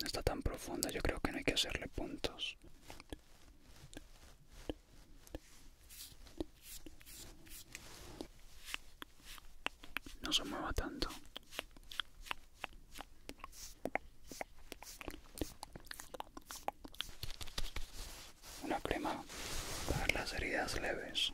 No está tan profunda, yo creo que no hay que hacerle puntos. No se mueva tanto. Una crema para las heridas leves.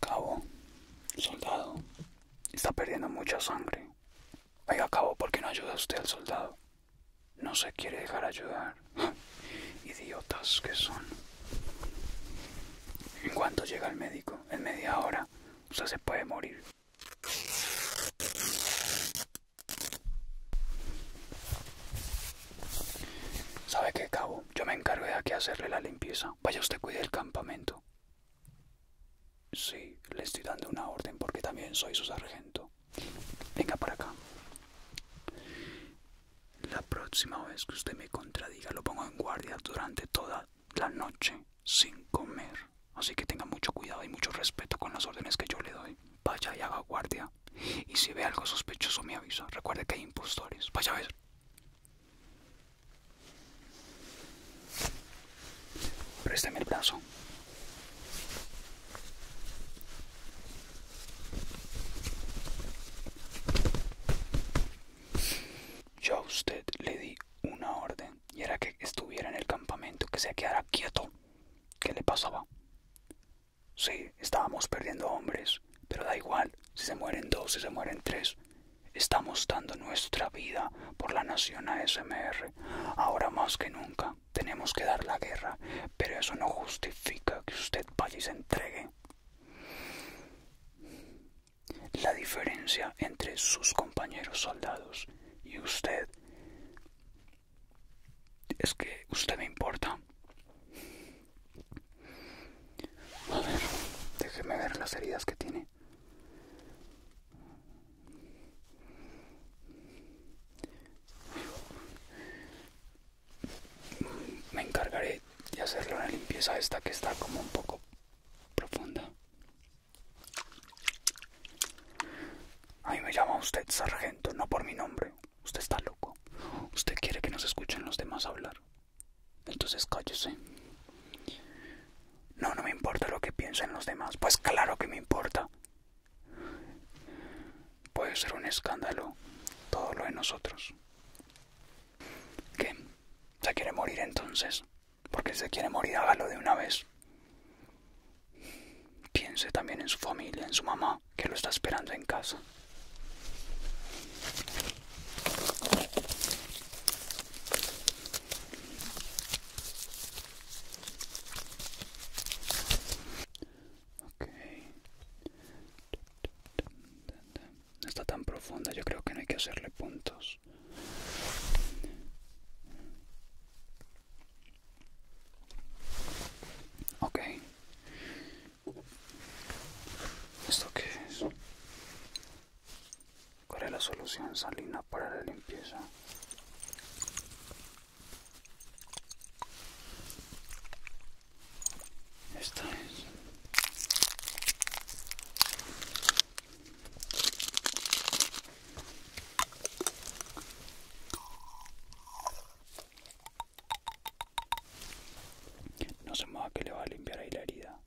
Cabo, soldado, Está perdiendo mucha sangre. Oiga, cabo, porque no ayuda usted al soldado? No se quiere dejar ayudar. Idiotas que son. En cuanto llega el médico, en media hora, usted se puede morir. ¿Sabe qué, cabo? Yo me encargo de aquí hacerle la limpieza. Vaya usted cuide el campamento. Sí, le estoy dando una orden porque también soy su sargento. Venga para acá. La próxima vez que usted me contradiga, lo pongo en guardia durante toda la noche sin comer. Así que tenga mucho cuidado y mucho respeto con las órdenes que yo le doy. Vaya y haga guardia. Y si ve algo sospechoso, me avisa. Recuerde que hay impostores. Vaya a ver. Préstame el brazo. Yo a usted le di una orden y era que estuviera en el campamento, que se quedara quieto. ¿Qué le pasaba? Sí, estábamos perdiendo hombres, pero da igual si se mueren dos, si se mueren tres. Estamos dando nuestra vida por la nación ASMR. Ahora más que nunca tenemos que dar la guerra, pero eso no justifica que usted vaya y se entregue. La diferencia entre sus compañeros soldados y usted es que usted me importa. A ver, déjeme ver las heridas que tiene. Me encargaré de hacerle una limpieza a esta que está como un poco profunda. Ahí me llama usted sargento, no por mi nombre. Usted está loco. Usted quiere que nos escuchen los demás hablar. Entonces cállese. No, no me importa lo que piensen los demás. Pues claro que me importa. Puede ser un escándalo todo lo de nosotros. ¿Qué? ¿Se quiere morir entonces? Porque se quiere morir, hágalo de una vez. Piense también en su familia, en su mamá, que lo está esperando en casa está tan profunda, yo creo que no hay que hacerle puntos. Ok. ¿Esto qué es? ¿Cuál es la solución salina para la limpieza? Esta es. No se mueva que le va a limpiar ahí la herida.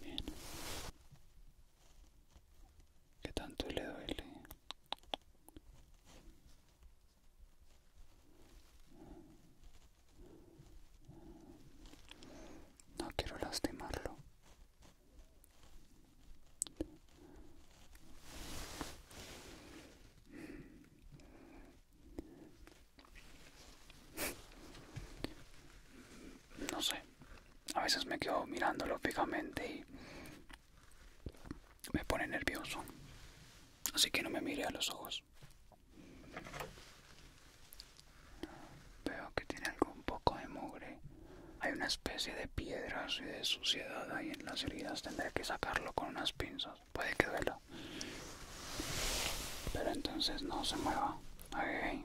Bien. ¿Qué tanto le duele? No quiero lastimarlo. No sé, a veces me quedo mirándolo fijamente y me pone nervioso, así que no me mire a los ojos. Veo que tiene algo un poco de mugre hay una especie de piedras y de suciedad ahí en las heridas. Tendré que sacarlo con unas pinzas. Puede que duela. Pero entonces no se mueva. Okay.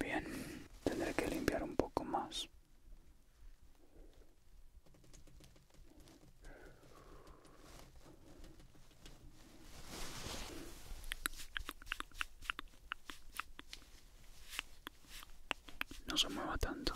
Bien, tendré que limpiar un poco más no se mueva tanto.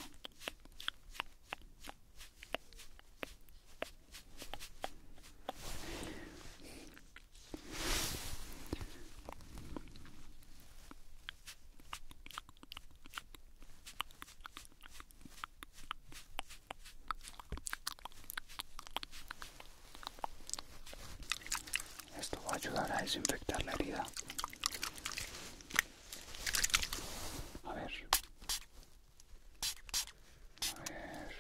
Esto va a ayudar a desinfectar la herida. A ver. A ver.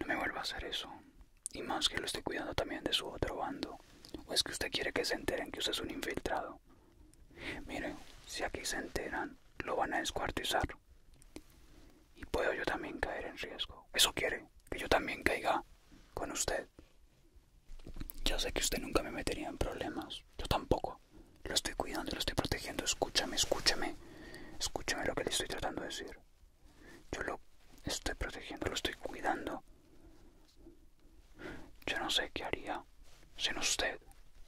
No me vuelva a hacer eso. Y más que lo estoy cuidando también de su otro bando. ¿O es que usted quiere que se enteren que usted es un infiltrado? Mire, si aquí se enteran, lo van a descuartizar. Y puedo yo también caer en riesgo. ¿Eso quiere? ¿Que yo también caiga? con usted. Yo sé que usted nunca me metería en problemas. Yo tampoco. Lo estoy cuidando, lo estoy protegiendo. Escúchame, escúchame. Escúchame lo que le estoy tratando de decir. Yo lo estoy protegiendo, lo estoy cuidando. Yo no sé qué haría sin usted.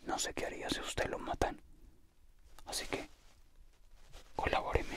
No sé qué haría si usted lo matan. Así que colabóreme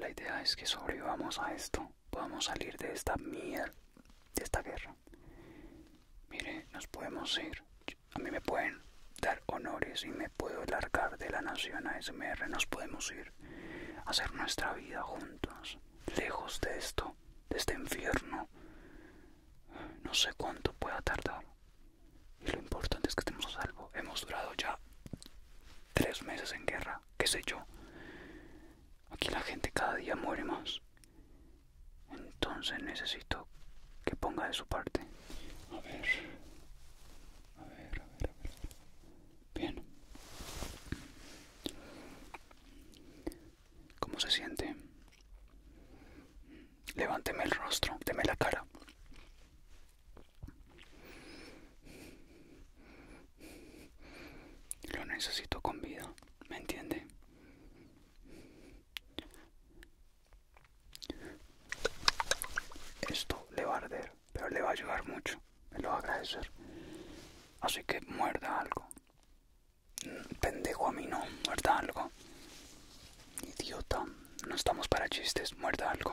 La idea es que sobrevivamos a esto, podamos salir de esta mierda, de esta guerra. Mire, nos podemos ir. A mí me pueden dar honores y me puedo largar de la nación a ASMR. Nos podemos ir a hacer nuestra vida juntos, lejos de esto, de este infierno. No sé cuánto pueda tardar. Y lo importante es que estemos a salvo. Hemos durado ya tres meses en guerra, qué sé yo. Aquí la gente cada día muere más. Entonces necesito que ponga de su parte. A ver. A ver, a ver, a ver. Bien. ¿Cómo se siente? Levánteme el rostro, deme la cara. Lo necesito con vida, ¿me entiende? Esto le va a arder, pero le va a ayudar mucho, me lo va a agradecer. Así que muerda algo. Pendejo a mí no, muerda algo. Idiota, no estamos para chistes, muerda algo.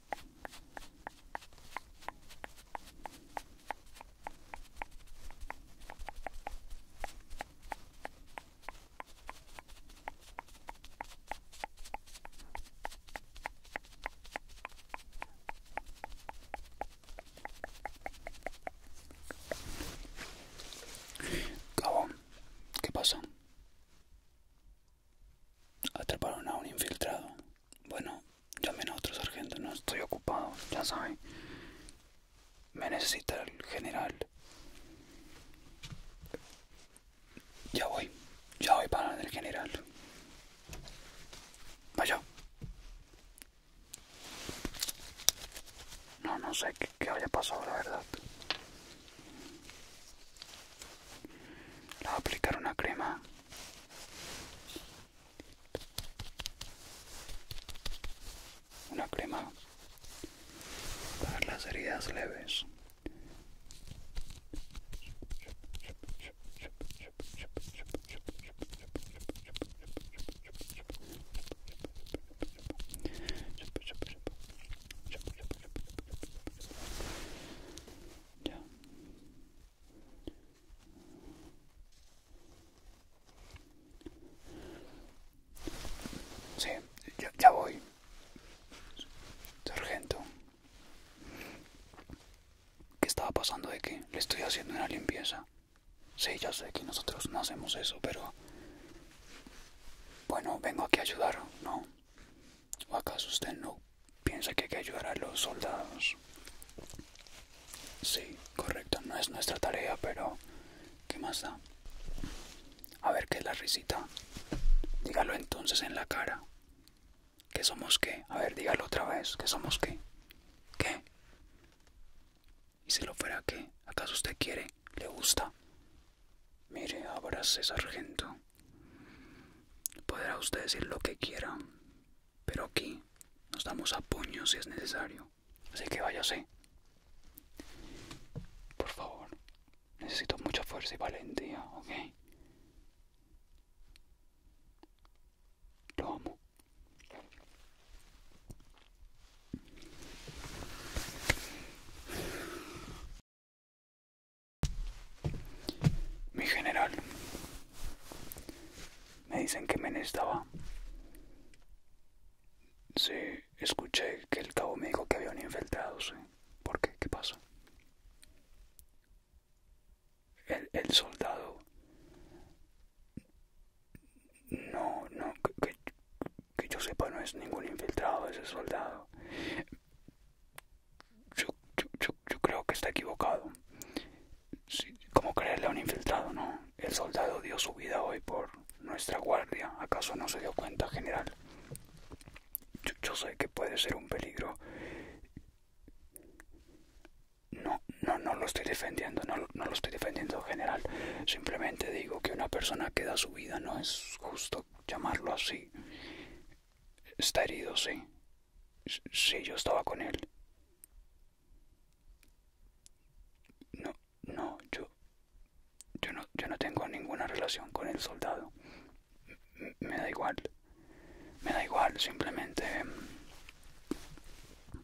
Cabo, ¿qué pasa? Atraparon a un infiltrado. Bueno, llamen a otro sargento, no estoy ocupado, ya saben. Me necesita el general. Ya voy, ya voy para el general. Vaya. No, no sé qué, qué haya pasado, la verdad. Le voy a aplicar una crema una crema para las heridas leves. Sí, ya, voy. Sargento. ¿Qué estaba pasando de qué? le estoy haciendo una limpieza? Sí, ya sé que nosotros no hacemos eso, pero... Bueno, vengo aquí a ayudar, ¿no? ¿O acaso usted no Piensa que hay que ayudar a los soldados. Sí, correcto, no es nuestra tarea, pero ¿qué más da? A ver qué es la risita. Dígalo entonces en la cara. ¿Qué somos qué? A ver, dígalo otra vez. ¿Que somos qué? ¿Qué? ¿Y si lo fuera que. ¿Acaso usted quiere? ¿Le gusta? Mire, abrace, sargento. Podrá usted decir lo que quiera, pero aquí nos damos a puños si es necesario. Así que váyase. Por favor. Necesito mucha fuerza y valentía, ¿ok? Lo amo. Mi general, me dicen que me estaba. Sí, escuché que el cabo me dijo que habían infiltrado, ¿Por qué? ¿Qué pasa? El, soldado. No, no, que yo sepa, no es ningún infiltrado ese soldado yo, creo que está equivocado. como ¿Cómo creerle a un infiltrado, no? El soldado dio su vida hoy por nuestra guardia. ¿Acaso no se dio cuenta, general? Yo, sé que puede ser un peligro. No, no, no lo estoy defendiendo, no, no lo estoy defendiendo, general. Simplemente digo que una persona que da su vida no es justo llamarlo así. Está herido, sí. Sí, yo estaba con él. No, no, yo... Yo no, yo no tengo ninguna relación con el soldado. me da igual. Me da igual, simplemente...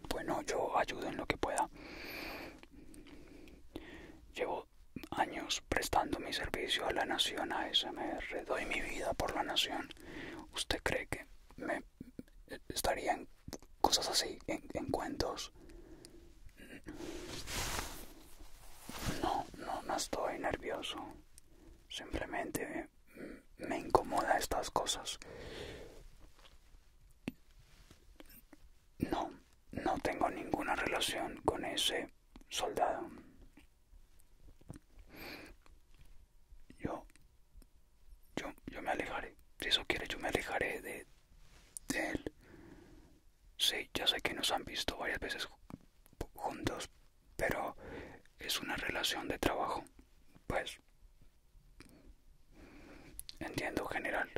Bueno, yo ayudo en lo que pueda. Llevo años prestando mi servicio a la nación a me Doy mi vida por la nación. ¿Usted cree que me estarían cosas así, en, cuentos? No, no, no estoy nervioso. Simplemente me, me incomoda estas cosas. No, no tengo ninguna relación con ese soldado yo, yo, yo me alejaré. Si eso quiere, yo me alejaré de, de él. Sí, ya sé que nos han visto varias veces juntos, pero es una relación de trabajo. Pues, entiendo, general.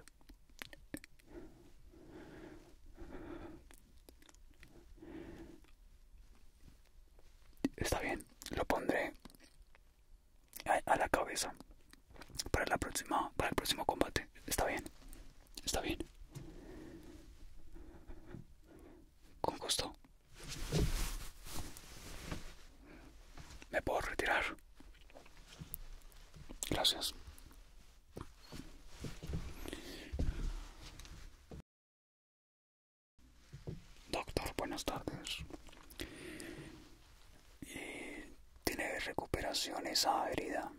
Está bien, lo pondré a, la cabeza para, la próxima, para el próximo combate. Está bien, está bien. Con gusto. Me puedo retirar. Gracias. Doctor, buenas tardes. Eh, ¿Tiene recuperación esa herida?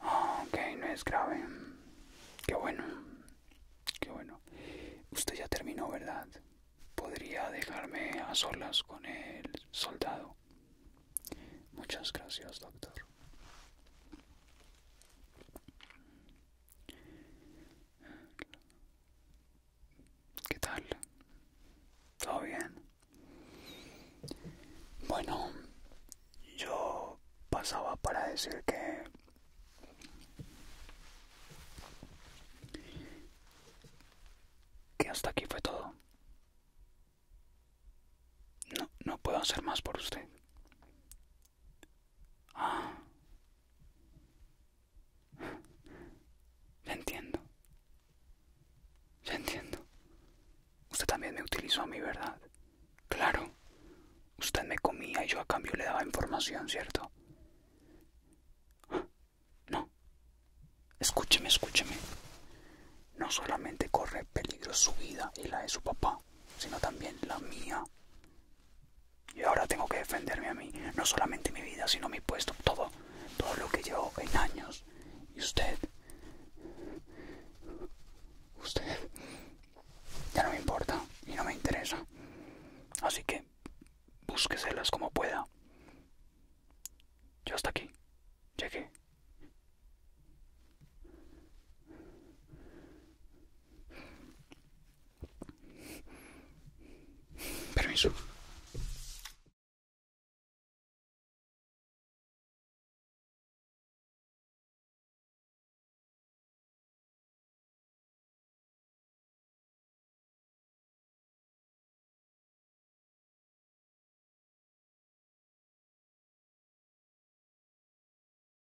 Ah, ok, no es grave. Qué bueno. Qué bueno. Usted ya terminó, ¿verdad? ¿Podría dejarme a solas con el soldado? Muchas gracias, doctor. ¿Qué tal? ¿Todo bien? Bueno, yo pasaba para decir que que hasta aquí fue todo. No, no puedo hacer más por usted. Ah. entiendo. Ya entiendo. Usted también me utilizó a mí, ¿verdad? Claro. Usted me comía y yo a cambio le daba información, ¿cierto? No. Escúcheme, escúcheme. No solamente corre peligro su vida y la de su papá, sino también la mía. Y ahora tengo que defenderme a mí, no solamente mi vida, sino mi puesto, todo, todo lo que llevo en años. Y usted, usted, ya no me importa y no me interesa. Así que búsqueselas como pueda. Yo hasta aquí, llegué. Permiso.